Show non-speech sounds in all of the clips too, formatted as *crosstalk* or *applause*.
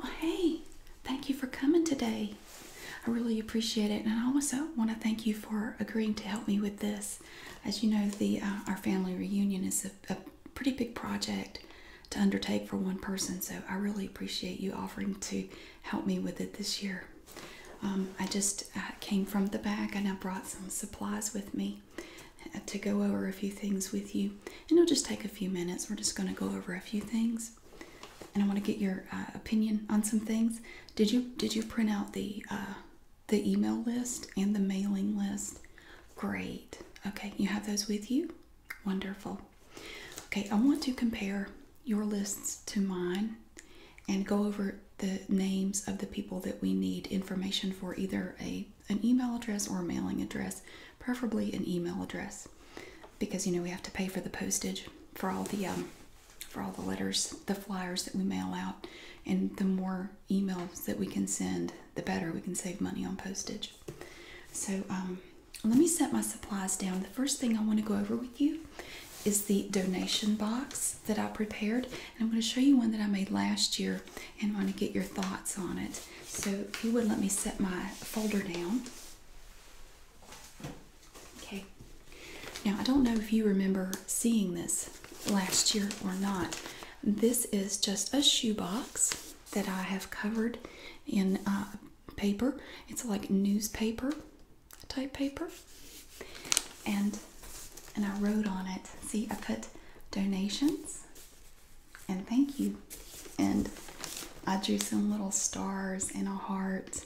Well, hey, thank you for coming today. I really appreciate it, and I also want to thank you for agreeing to help me with this. As you know, the uh, our family reunion is a, pretty big project to undertake for one person, so I really appreciate you offering to help me with it this year. Um, I just uh, came from the back, and I brought some supplies with me to go over a few things with you, and it'll just take a few minutes. We're just going to go over a few things, and I want to get your uh, opinion on some things. Did you did you print out the uh, the email list and the mailing list? Great. Okay, you have those with you. Wonderful. Okay, I want to compare your lists to mine and go over the names of the people that we need information for either a an email address or a mailing address, preferably an email address, because you know we have to pay for the postage for all the um, for all the letters, the flyers that we mail out, and the more emails that we can send, the better we can save money on postage. So um, let me set my supplies down. The first thing I want to go over with you is the donation box that I prepared, and I'm going to show you one that I made last year and want to get your thoughts on it. So, if you would let me set my folder down. Okay. Now, I don't know if you remember seeing this last year or not. This is just a shoebox that I have covered in uh, paper. It's like newspaper type paper. And and I wrote on it. See, I put donations and thank you. And I drew some little stars and a heart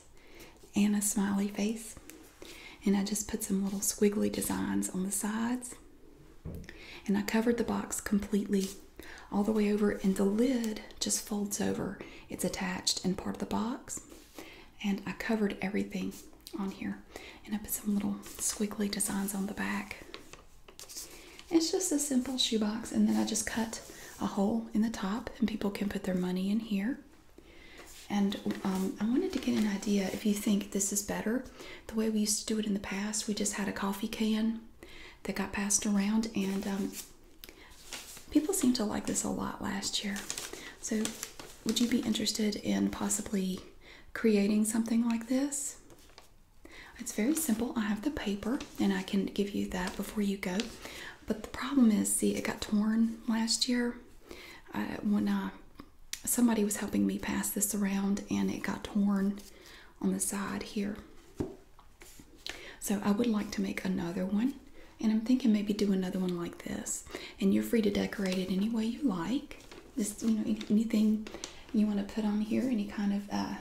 and a smiley face. And I just put some little squiggly designs on the sides. And I covered the box completely all the way over and the lid just folds over. It's attached and part of the box. And I covered everything on here. And I put some little squiggly designs on the back. It's just a simple shoebox, and then I just cut a hole in the top, and people can put their money in here. And um, I wanted to get an idea if you think this is better. The way we used to do it in the past, we just had a coffee can that got passed around, and um, people seemed to like this a lot last year. So, would you be interested in possibly creating something like this? It's very simple. I have the paper and I can give you that before you go. But the problem is, see, it got torn last year uh, when uh, somebody was helping me pass this around and it got torn on the side here. So I would like to make another one. And I'm thinking maybe do another one like this. And you're free to decorate it any way you like like just you know anything you want to put on here, any kind of uh,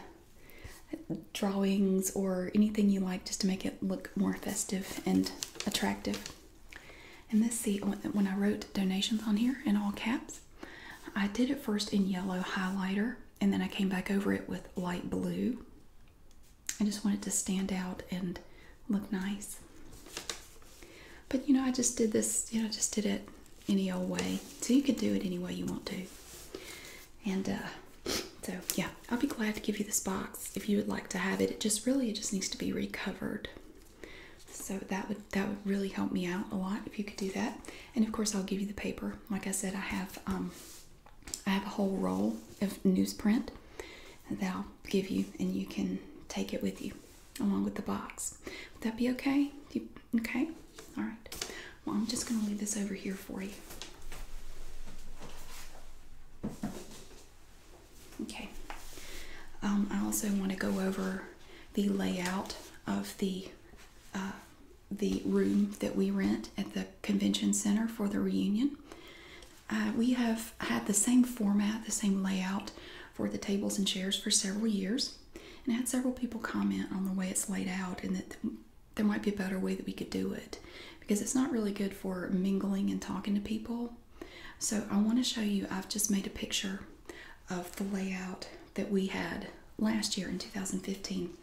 drawings or anything you like, just to make it look more festive and attractive. And this, see, when I wrote donations on here in all caps, I did it first in yellow highlighter, and then I came back over it with light blue. I just wanted to stand out and look nice. But you know, I just did this, you know, just did it any old way. So you can do it any way you want to. And uh, so yeah, I'll be glad to give you this box if you would like to have it. It just really it just needs to be recovered. So that would that would really help me out a lot if you could do that. And of course I'll give you the paper. Like I said, I have um, I have a whole roll of newsprint that I'll give you, and you can take it with you along with the box. Would that be okay? Okay, all right. Well, I'm just going to leave this over here for you. Okay. Um, I also want to go over the layout of the uh, the room that we rent at the convention center for the reunion. Uh, we have had the same format, the same layout for the tables and chairs for several years. And I had several people comment on the way it's laid out and that there might be a better way that we could do it because it's not really good for mingling and talking to people. So I want to show you, I've just made a picture of the layout that we had last year in 2015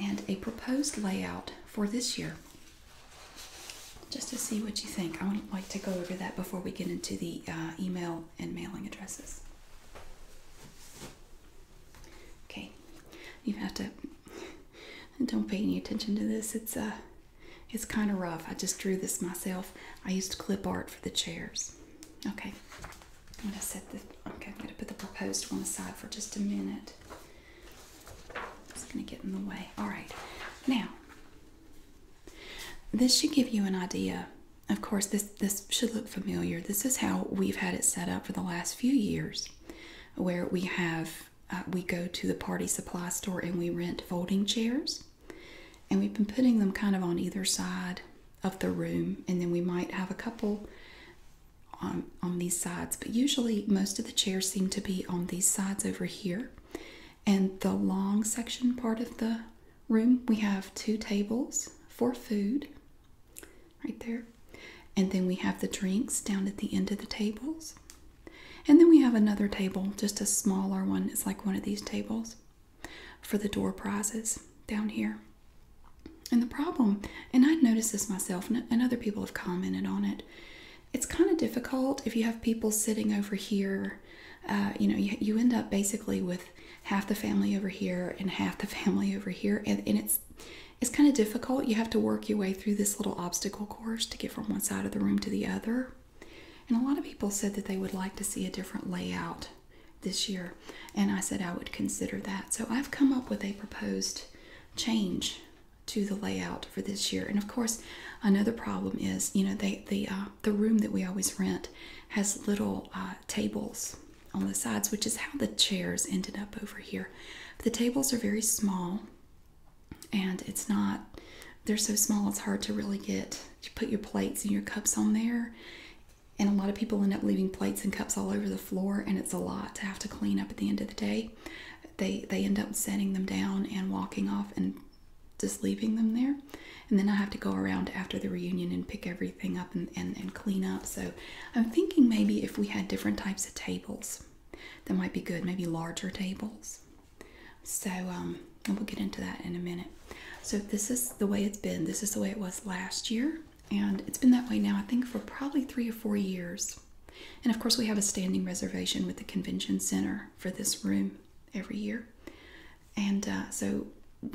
and a proposed layout for this year just to see what you think. I would like to go over that before we get into the uh, email and mailing addresses. Okay, you have to. *laughs* Don't pay any attention to this. It's uh, it's kind of rough. I just drew this myself. I used clip art for the chairs. Okay, I'm gonna set the. Okay, I'm gonna put the proposed one aside for just a minute. It's gonna get in the way. All right, now this should give you an idea of course, this, this should look familiar. This is how we've had it set up for the last few years, where we have uh, we go to the party supply store and we rent folding chairs, and we've been putting them kind of on either side of the room, and then we might have a couple on on these sides, but usually most of the chairs seem to be on these sides over here, and the long section part of the room, we have two tables for food right there. And then we have the drinks down at the end of the tables. And then we have another table, just a smaller one. It's like one of these tables for the door prizes down here. And the problem, and I've noticed this myself, and other people have commented on it, it's kind of difficult if you have people sitting over here. Uh, you know, you end up basically with half the family over here and half the *laughs* family over here and, it's it's kind of difficult you have to work your way through this little obstacle course to get from one side of the room to the other and a lot of people said that they would like to see a different layout this year and i said i would consider that so i've come up with a proposed change to the layout for this year and of course another problem is you know they the uh, the room that we always rent has little uh, tables on the sides, which is how the chairs ended up over here. The tables are very small, and it's not, they're so small it's hard to really get, to put your plates and your cups on there. And a lot of people end up leaving plates and cups all over the floor, and it's a lot to have to clean up at the end of the day. They, they end up setting them down and walking off and just leaving them there. And then I have to go around after the reunion and pick everything up and, clean up. So I'm thinking maybe if we had different types of tables, that might be good. Maybe larger tables. So, um, we'll get into that in a minute. So this is the way it's been. This is the way it was last year. And it's been that way now, I think, for probably three or four years. And of course, we have a standing reservation with the convention center for this room every year and uh, so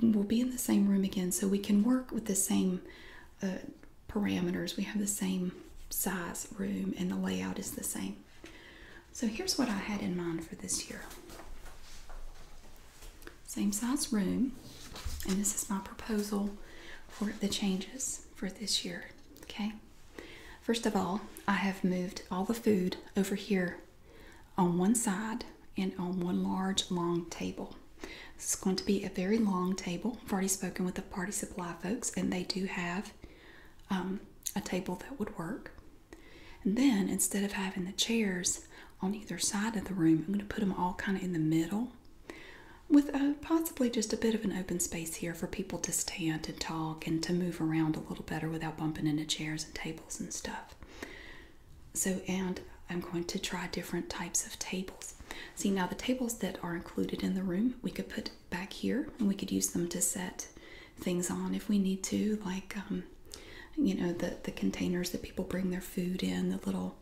we'll be in the same room again so we can work with the same uh, parameters we have the same size room and the layout is the same so here's what i had in mind for this year same size room and this is my proposal for the changes for this year okay first of all i have moved all the food over here on one side and on um, one large long table. This is going to be a very long table. I've already spoken with the party supply folks, and they do have um, a table that would work. And then instead of having the chairs on either side of the room, I'm going to put them all kind of in the middle with possibly just a bit of an open space here for people to stand and talk and to move around a little better without bumping into chairs and tables and stuff. So, and I'm going to try different types of tables. See, now the tables that are included in the room, we could put back here and we could use them to set things on if we need to, like, um, you know, the, the containers that people bring their food in, the little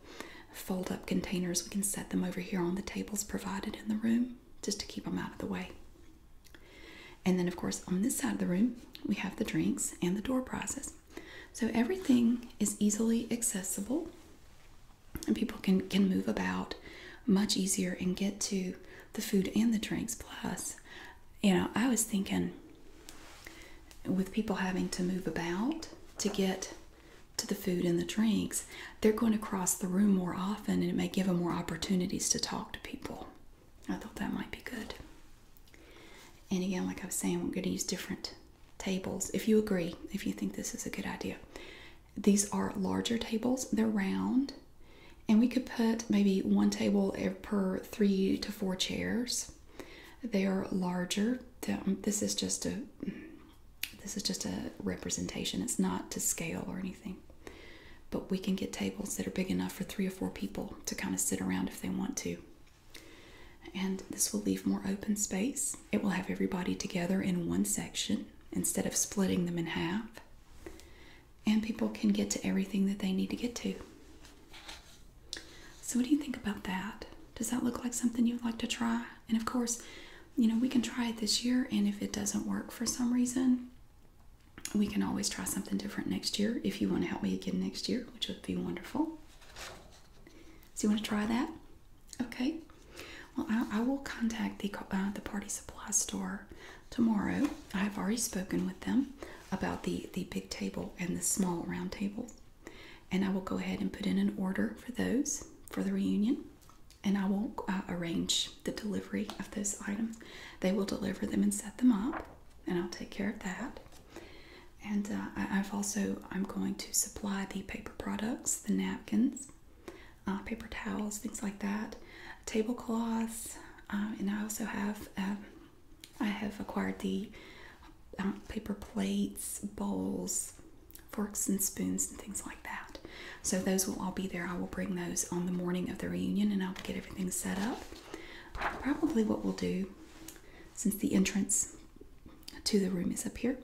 fold up containers, we can set them over here on the tables provided in the room just to keep them out of the way. And then, of course, on this side of the room, we have the drinks and the door prizes. So everything is easily accessible and people can, can move about much easier and get to the food and the drinks. Plus, you know, I was thinking with people having to move about to get to the food and the drinks, they're going to cross the room more often and it may give them more opportunities to talk to people. I thought that might be good. And again, like I was saying, we're going to use different tables. If you agree, if you think this is a good idea, these are larger tables, they're round, and we could put maybe one table per three to four chairs. They are larger. Um, this is just a this is just a representation. It's not to scale or anything. But we can get tables that are big enough for three or four people to kind of sit around if they want to. And this will leave more open space. It will have everybody together in one section instead of splitting them in half. And people can get to everything that they need to get to. So, what do you think about that? Does that look like something you'd like to try? And of course, you know, we can try it this year, and if it doesn't work for some reason, we can always try something different next year if you want to help me again next year, which would be wonderful. So you want to try that? Okay. Well, I, will contact the uh, the party supply store tomorrow. I have already spoken with them about the the big table and the small round table, and I will go ahead and put in an order for those for the reunion, and I will uh, arrange the delivery of those items. They will deliver them and set them up, and I'll take care of that. And uh, I, have also I'm going to supply the paper products, the napkins, uh, paper towels, things like that, tablecloths, uh, and I also have um, I have acquired the um, paper plates, bowls, forks and spoons, and things like that. So those will all be there. I will bring those on the morning of the reunion, and I'll get everything set up. Probably what we'll do, since the entrance to the room is up here,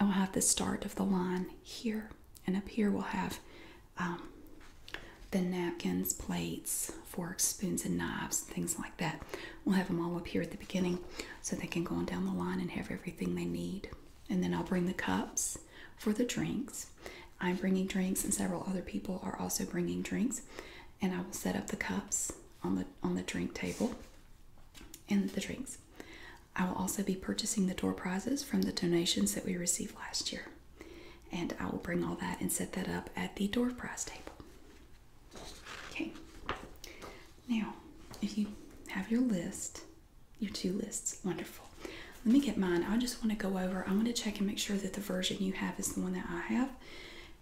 I'll have the start of the line here, and up here we'll have um, the napkins, plates, forks, spoons, and knives, things like that. We'll have them all up here at the beginning so they can go on down the line and have everything they need. And then I'll bring the cups for the drinks. I'm bringing drinks, and several other people are also bringing drinks and I will set up the cups on the on the drink table and the drinks. I will also be purchasing the door prizes from the donations that we received last year. And I will bring all that and set that up at the door prize table. Okay. Now, if you have your list, your two lists, wonderful. Let me get mine. I just want to go over, I want to check and make sure that the version you have is the one that I have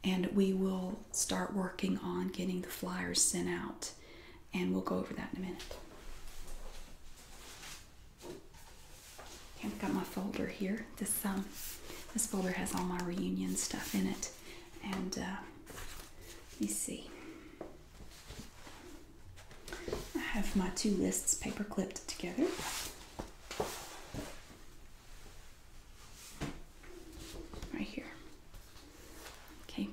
and we will start working on getting the flyers sent out, and we'll go over that in a minute. I've got my folder here. This um, this folder has all my reunion stuff in it, and uh, let me see. I have my two lists paper clipped together. Right here. Okay.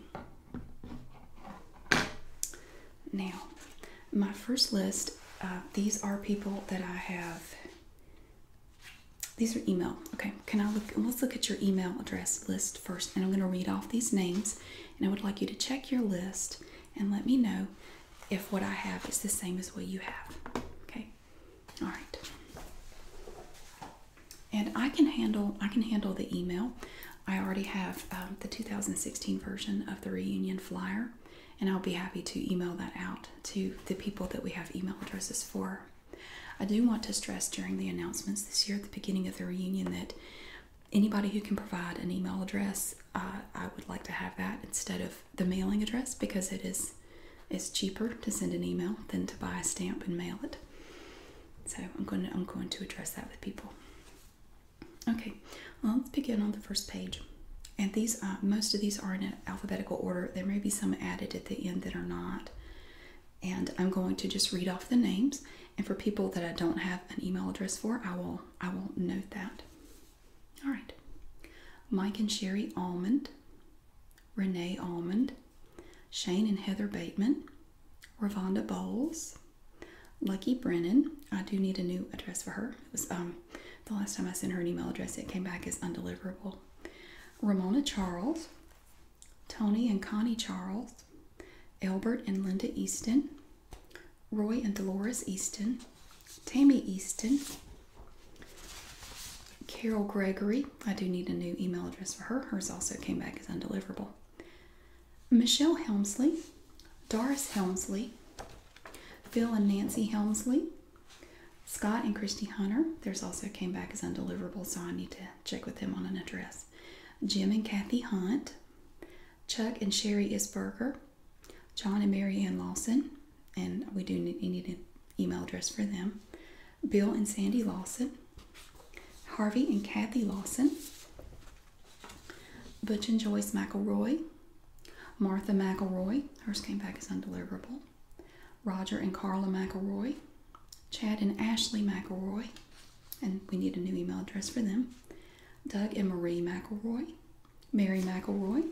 Now, my first list, uh, these are people that I have. These are email. Okay, can I look? Let's look at your email address list first, and I'm going to read off these names. And I would like you to check your list and let me know if what I have is the same as what you have. Okay, all right. And I can handle I can handle the email. I already have um, the 2016 version of the reunion flyer, and I'll be happy to email that out to the people that we have email addresses for. I do want to stress during the announcements this year at the beginning of the reunion that anybody who can provide an email address, uh, I would like to have that instead of the mailing address because it is it's cheaper to send an email than to buy a stamp and mail it. So I'm going to I'm going to address that with people. Okay, well, let's begin on the first page. And these uh, most of these are in alphabetical order. There may be some added at the end that are not. And I'm going to just read off the names. And for people that I don't have an email address for, I will I will note that. All right. Mike and Sherry Almond, Renee Almond, Shane and Heather Bateman, Ravonda Bowles, Lucky Brennan. I do need a new address for her. It was um, the last time I sent her an email address, it came back as undeliverable. Ramona Charles, Tony and Connie Charles, Albert and Linda Easton, Roy and Dolores Easton, Tammy Easton, Carol Gregory. I do need a new email address for her. Hers also came back as undeliverable. Michelle Helmsley, Doris Helmsley, Phil and Nancy Helmsley, Scott and Christy Hunter. Theirs also came back as undeliverable, so I need to check with them on an address. Jim and Kathy Hunt, Chuck and Sherry Isburger. John and Mary Ann Lawson, and we do need, an email address for them, Bill and Sandy Lawson, Harvey and Kathy Lawson, Butch and Joyce McElroy, Martha McElroy, hers came back as undeliverable, Roger and Carla McElroy, Chad and Ashley McElroy, and we need a new email address for them, Doug and Marie McElroy, Mary McElroy,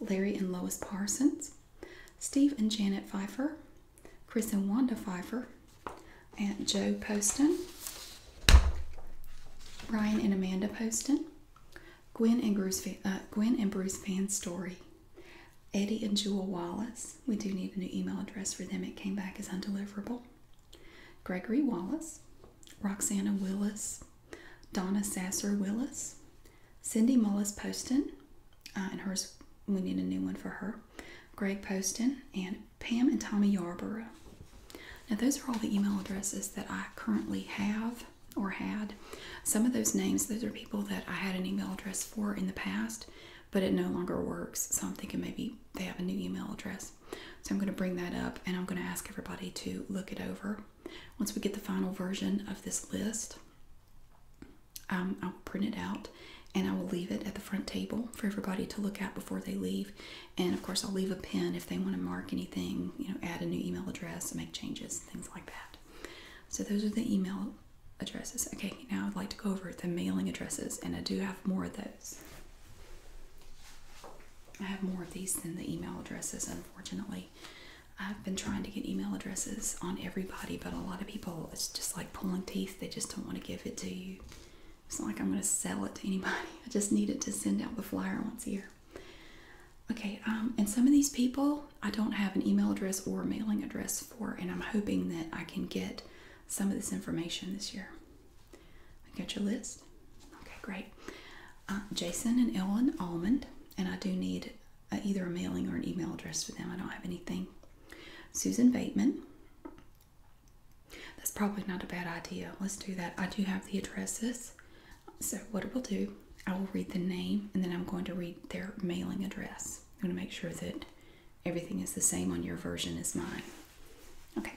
Larry and Lois Parsons, Steve and Janet Pfeiffer, Chris and Wanda Pfeiffer, Aunt Joe Poston, Ryan and Amanda Poston, Gwen and Bruce, uh, Gwen and Bruce Van Story, Eddie and Jewel Wallace. We do need a new email address for them. It came back as undeliverable. Gregory Wallace, Roxana Willis, Donna Sasser Willis, Cindy Mullis Poston, uh, and hers, we need a new one for her, Greg Poston, and Pam and Tommy Yarborough. Now, those are all the email addresses that I currently have or had. Some of those names, those are people that I had an email address for in the past, but it no longer works. So I'm thinking maybe they have a new email address. So I'm going to bring that up and I'm going to ask everybody to look it over once we get the final version of this list, um, I will print it out and I will leave it at the front table for everybody to look at before they leave. And of course, I'll leave a pen if they want to mark anything, you know, add a new email address, make changes, things like that. So those are the email addresses. Okay, now I'd like to go over the mailing addresses, and I do have more of those. I have more of these than the email addresses, unfortunately. I've been trying to get email addresses on everybody, but a lot of people, it's just like pulling teeth. They just don't want to give it to you. It's not like I'm going to sell it to anybody. *laughs* I just need it to send out the flyer once a year. Okay, um, and some of these people I don't have an email address or mailing address for, and I'm hoping that I can get some of this information this year. I got your list? Okay, great. Uh, Jason and Ellen Almond, and I do need uh, either a mailing or an email address for them. I don't have anything. Susan Bateman. That's probably not a bad idea. Let's do that. I do have the addresses. So, what it will do, I will read the name and then I'm going to read their mailing address. I'm going to make sure that everything is the same on your version as mine. Okay.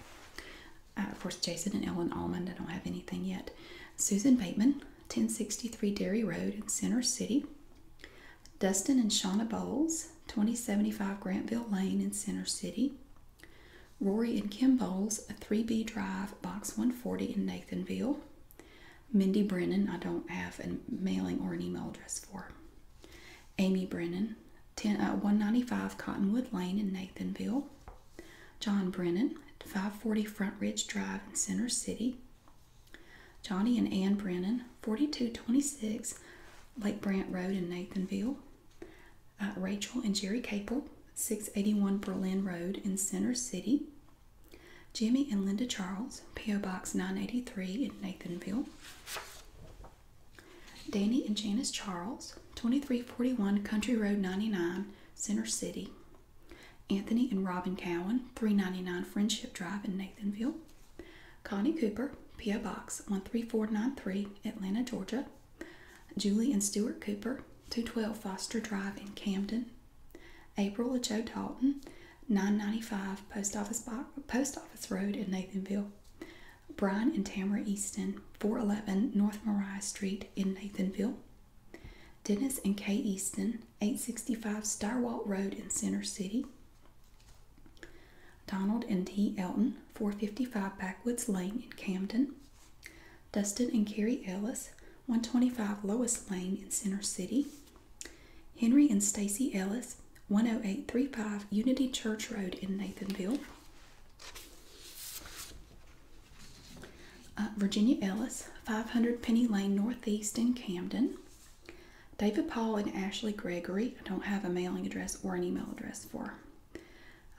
Uh, Jason and Ellen Almond, I don't have anything yet. Susan Bateman, 1063 Dairy Road in Center City. Dustin and Shauna Bowles, 2075 Grantville Lane in Center City. Rory and Kim Bowles, 3B Drive, Box 140 in Nathanville. Mindy Brennan, I don't have a mailing or an email address for. Amy Brennan, 10, uh, 195 Cottonwood Lane in Nathanville. John Brennan 540 Front Ridge Drive in Center City. Johnny and Ann Brennan, 4226 Lake Brant Road in Nathanville. Uh, Rachel and Jerry Capel, 681 Berlin Road in Center City. Jimmy and Linda Charles, P.O. Box 983 in Nathanville. Danny and Janice Charles, 2341 Country Road 99, Center City, Anthony and Robin Cowan, 399 Friendship Drive in Nathanville. Connie Cooper, P.O. Box 13493, Atlanta, Georgia. Julie and Stuart Cooper, 212 Foster Drive in Camden. April and Joe Dalton, 995 Post Office, Post Office Road in Nathanville. Brian and Tamara Easton, 411 North Mariah Street in Nathanville. Dennis and Kay Easton, 865 Starwalt Road in Center City. Donald and T. Elton, 455 Backwoods Lane in Camden. Dustin and Carrie Ellis, 125 Lois Lane in Center City. Henry and Stacy Ellis, 10835 Unity Church Road in Nathanville. Uh, Virginia Ellis, 500 Penny Lane Northeast in Camden. David Paul and Ashley Gregory. I don't have a mailing address or an email address for.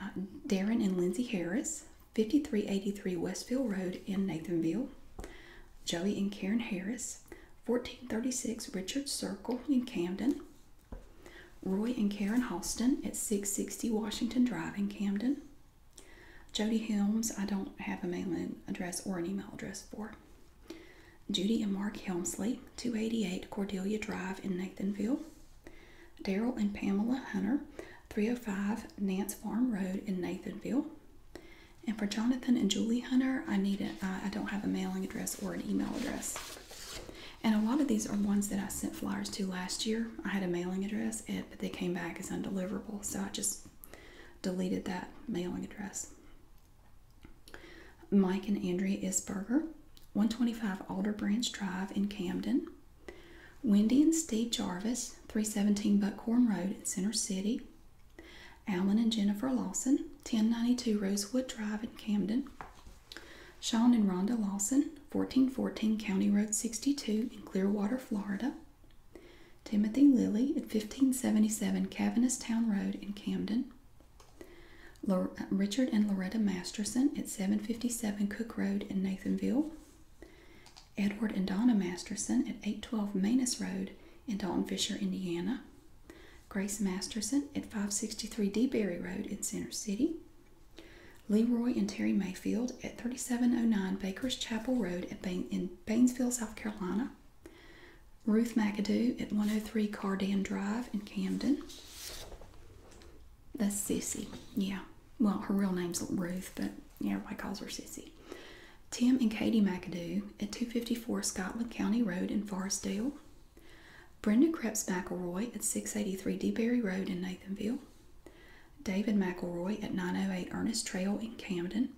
Uh, Darren and Lindsay Harris, 5383 Westfield Road in Nathanville. Joey and Karen Harris, 1436 Richard Circle in Camden. Roy and Karen Halston at 660 Washington Drive in Camden. Jody Helms, I don't have a mailing address or an email address for. Judy and Mark Helmsley, 288 Cordelia Drive in Nathanville. Daryl and Pamela Hunter, 305 Nance Farm Road in Nathanville. And for Jonathan and Julie Hunter, I need a, I don't have a mailing address or an email address. And a lot of these are ones that I sent flyers to last year. I had a mailing address at but they came back as undeliverable. So I just deleted that mailing address. Mike and Andrea Isberger, 125 Alder Branch Drive in Camden. Wendy and Steve Jarvis, 317 Buckhorn Road in Center City. Alan and Jennifer Lawson, 1092 Rosewood Drive in Camden. Sean and Rhonda Lawson, 1414 County Road 62 in Clearwater, Florida. Timothy Lilly at 1577 Cavanus Town Road in Camden. Uh, Richard and Loretta Masterson at 757 Cook Road in Nathanville. Edward and Donna Masterson at 812 Manus Road in Dalton Fisher, Indiana. Grace Masterson at 563 DeBerry Road in Center City. Leroy and Terry Mayfield at 3709 Baker's Chapel Road in Bainesville, South Carolina. Ruth McAdoo at 103 Cardan Drive in Camden. That's Sissy, yeah. Well, her real name's Ruth, but everybody calls her Sissy. Tim and Katie McAdoo at 254 Scotland County Road in Forestdale. Brenda Krebs McElroy at 683 DeBerry Road in Nathanville. David McElroy at 908 Ernest Trail in Camden.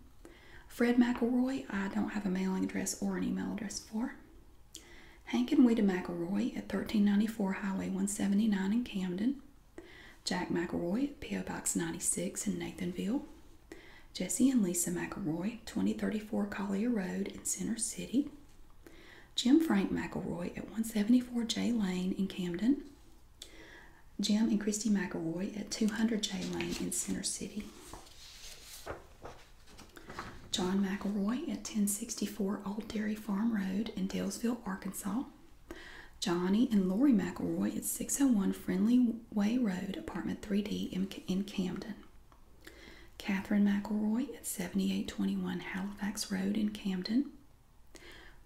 Fred McElroy, I don't have a mailing address or an email address for. Hank and Weta McElroy at 1394 Highway 179 in Camden. Jack McElroy at P.O. Box 96 in Nathanville. Jesse and Lisa McElroy, 2034 Collier Road in Center City. Jim Frank McElroy at 174 J Lane in Camden. Jim and Christy McElroy at 200 J Lane in Center City. John McElroy at 1064 Old Dairy Farm Road in Dalesville, Arkansas. Johnny and Lori McElroy at 601 Friendly Way Road, Apartment 3D in, Camden. Catherine McElroy at 7821 Halifax Road in Camden.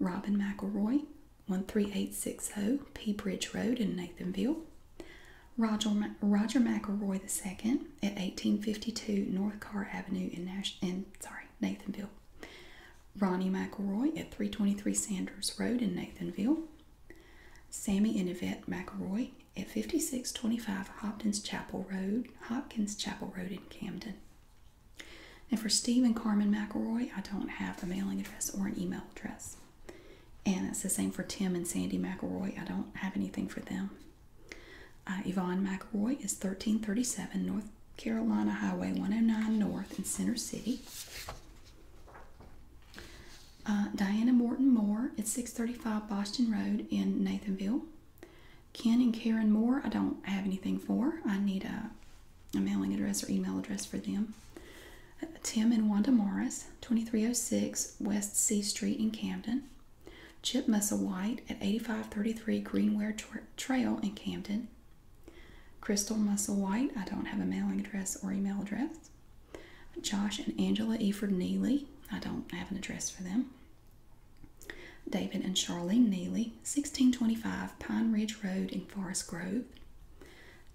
Robin McElroy, 13860 P. Bridge Road in Nathanville. Roger, Roger McElroy II at 1852 North Carr Avenue in, in sorry, Nathanville. Ronnie McElroy at 323 Sanders Road in Nathanville. Sammy and Yvette McElroy at 5625 Hopkins Chapel Road, Hopkins Chapel Road in Camden. And for Steve and Carmen McElroy, I don't have a mailing address or an email address. And it's the same for Tim and Sandy McElroy. I don't have anything for them. Uh, Yvonne McElroy is 1337 North Carolina Highway 109 North in Center City. Uh, Diana Morton Moore at 635 Boston Road in Nathanville. Ken and Karen Moore, I don't have anything for. I need a, mailing address or email address for them. Uh, Tim and Wanda Morris, 2306 West C Street in Camden. Chip Musselwhite at 8533 Greenware Trail in Camden. Crystal Musselwhite, I don't have a mailing address or email address. Josh and Angela Eford Neely, I don't have an address for them. David and Charlene Neely, 1625 Pine Ridge Road in Forest Grove.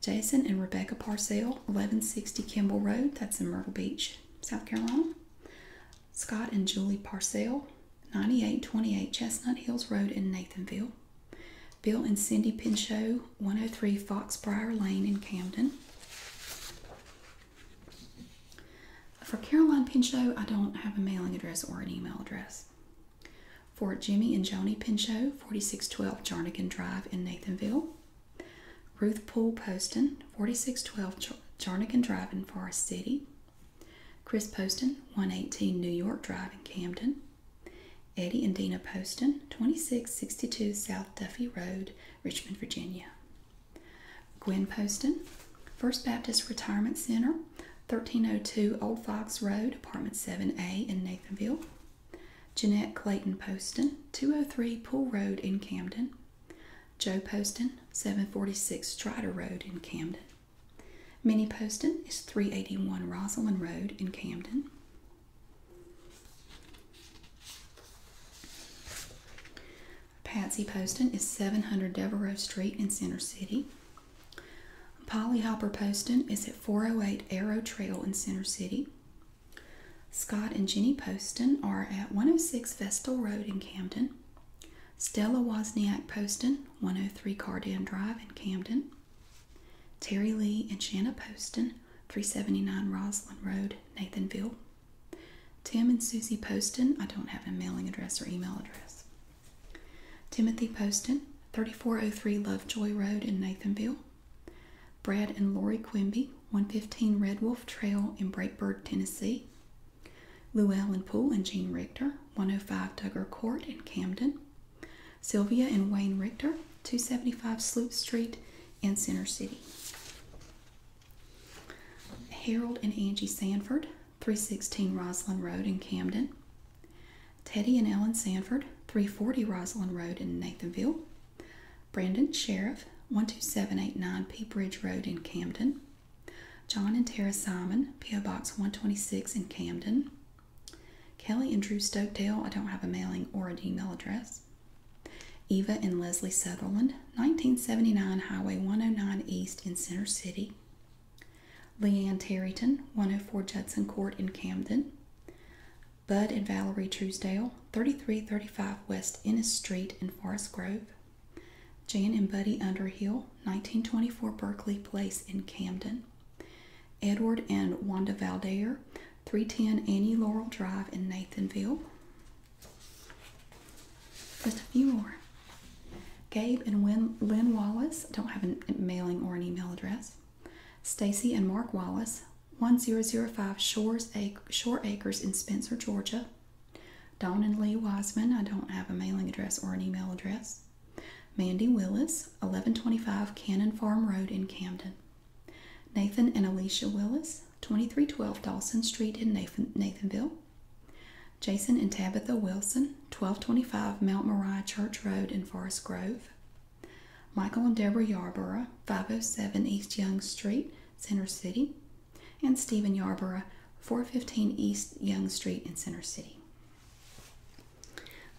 Jason and Rebecca Parcell, 1160 Kimball Road, that's in Myrtle Beach, South Carolina. Scott and Julie Parcell, 9828 Chestnut Hills Road in Nathanville. Bill and Cindy Pinchot, 103 Foxbrier Lane in Camden. For Caroline Pinchot, I don't have a mailing address or an email address. Fort Jimmy and Joni Pinchot, 4612 Jarnigan Drive in Nathanville. Ruth Poole Poston, 4612 Jarnigan Drive in Forest City. Chris Poston, 118 New York Drive in Camden. Eddie and Dina Poston, 2662 South Duffy Road, Richmond, Virginia. Gwen Poston, First Baptist Retirement Center, 1302 Old Fox Road, Apartment 7A in Nathanville. Jeanette Clayton Poston, 203 Pool Road in Camden. Joe Poston, 746 Strider Road in Camden. Minnie Poston is 381 Rosalind Road in Camden. Patsy Poston is 700 Devereux Street in Center City. Polly Hopper Poston is at 408 Arrow Trail in Center City. Scott and Jenny Poston are at 106 Vestal Road in Camden. Stella Wozniak Poston, 103 Cardan Drive in Camden. Terry Lee and Shanna Poston, 379 Roslyn Road, Nathanville. Tim and Susie Poston, I don't have a mailing address or email address. Timothy Poston, 3403 Lovejoy Road in Nathanville. Brad and Laurie Quimby, 115 Red Wolf Trail in Breakbird, Tennessee. Llewellyn Poole and Jean Richter, 105 Duggar Court in Camden. Sylvia and Wayne Richter, 275 Sloop Street in Center City. Harold and Angie Sanford, 316 Roslyn Road in Camden. Teddy and Ellen Sanford, 340 Roslyn Road in Nathanville. Brandon Sheriff, 12789 Pea Bridge Road in Camden. John and Tara Simon, P.O. Box 126 in Camden. Kelly and Drew Stokedale, I don't have a mailing or an email address. Eva and Leslie Sutherland, 1979 Highway 109 East in Center City, Leanne Terryton, 104 Judson Court in Camden. Bud and Valerie Truesdale, 3335 West Innis Street in Forest Grove. Jan and Buddy Underhill, 1924 Berkeley Place in Camden. Edward and Wanda Valdair, 310 Annie Laurel Drive in Nathanville. Just a few more. Gabe and Lynn Wallace don't have a mailing or an email address. Stacy and Mark Wallace, 1005 Shores Ac Shore Acres in Spencer, Georgia. Dawn and Lee Wiseman, I don't have a mailing address or an email address. Mandy Willis, 1125 Cannon Farm Road in Camden. Nathan and Alicia Willis, 2312 Dawson Street in Nathan Nathanville. Jason and Tabitha Wilson, 1225 Mount Moriah Church Road in Forest Grove. Michael and Deborah Yarborough, 507 East Young Street, Center City. And Stephen Yarborough, 415 East Young Street in Center City.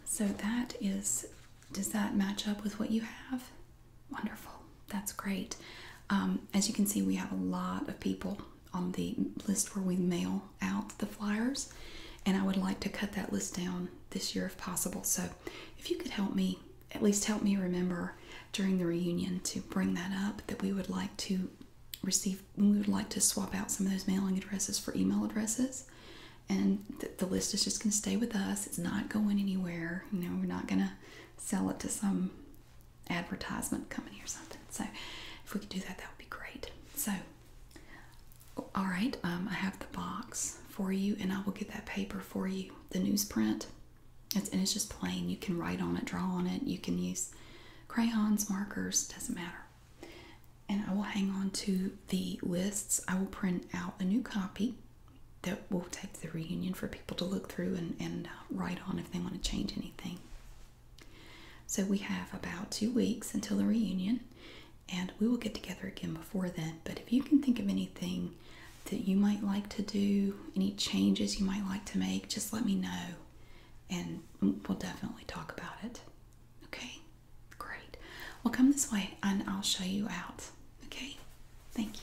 So that is, does that match up with what you have? Wonderful. That's great. Um, as you can see, we have a lot of people on the list where we mail out the flyers, and I would like to cut that list down this year if possible. So, if you could help me, at least help me remember during the reunion to bring that up that we would like to receive, we would like to swap out some of those mailing addresses for email addresses. And the list is just going to stay with us. It's not going anywhere. You know, we're not going to sell it to some advertisement company or something. So if we could do that, that would be great. So, all right, um, I have the box for you, and I will get that paper for you. The newsprint, it's, and it's just plain. You can write on it, draw on it. You can use crayons, markers, doesn't matter. And I will hang on to the lists. I will print out a new copy that we'll take the reunion for people to look through and, and uh, write on if they want to change anything. So we have about two weeks until the reunion, and we will get together again before then. But if you can think of anything that you might like to do, any changes you might like to make, just let me know and we'll definitely talk about it. Okay? Great. We'll come this way and I'll show you out. Okay? Thank you.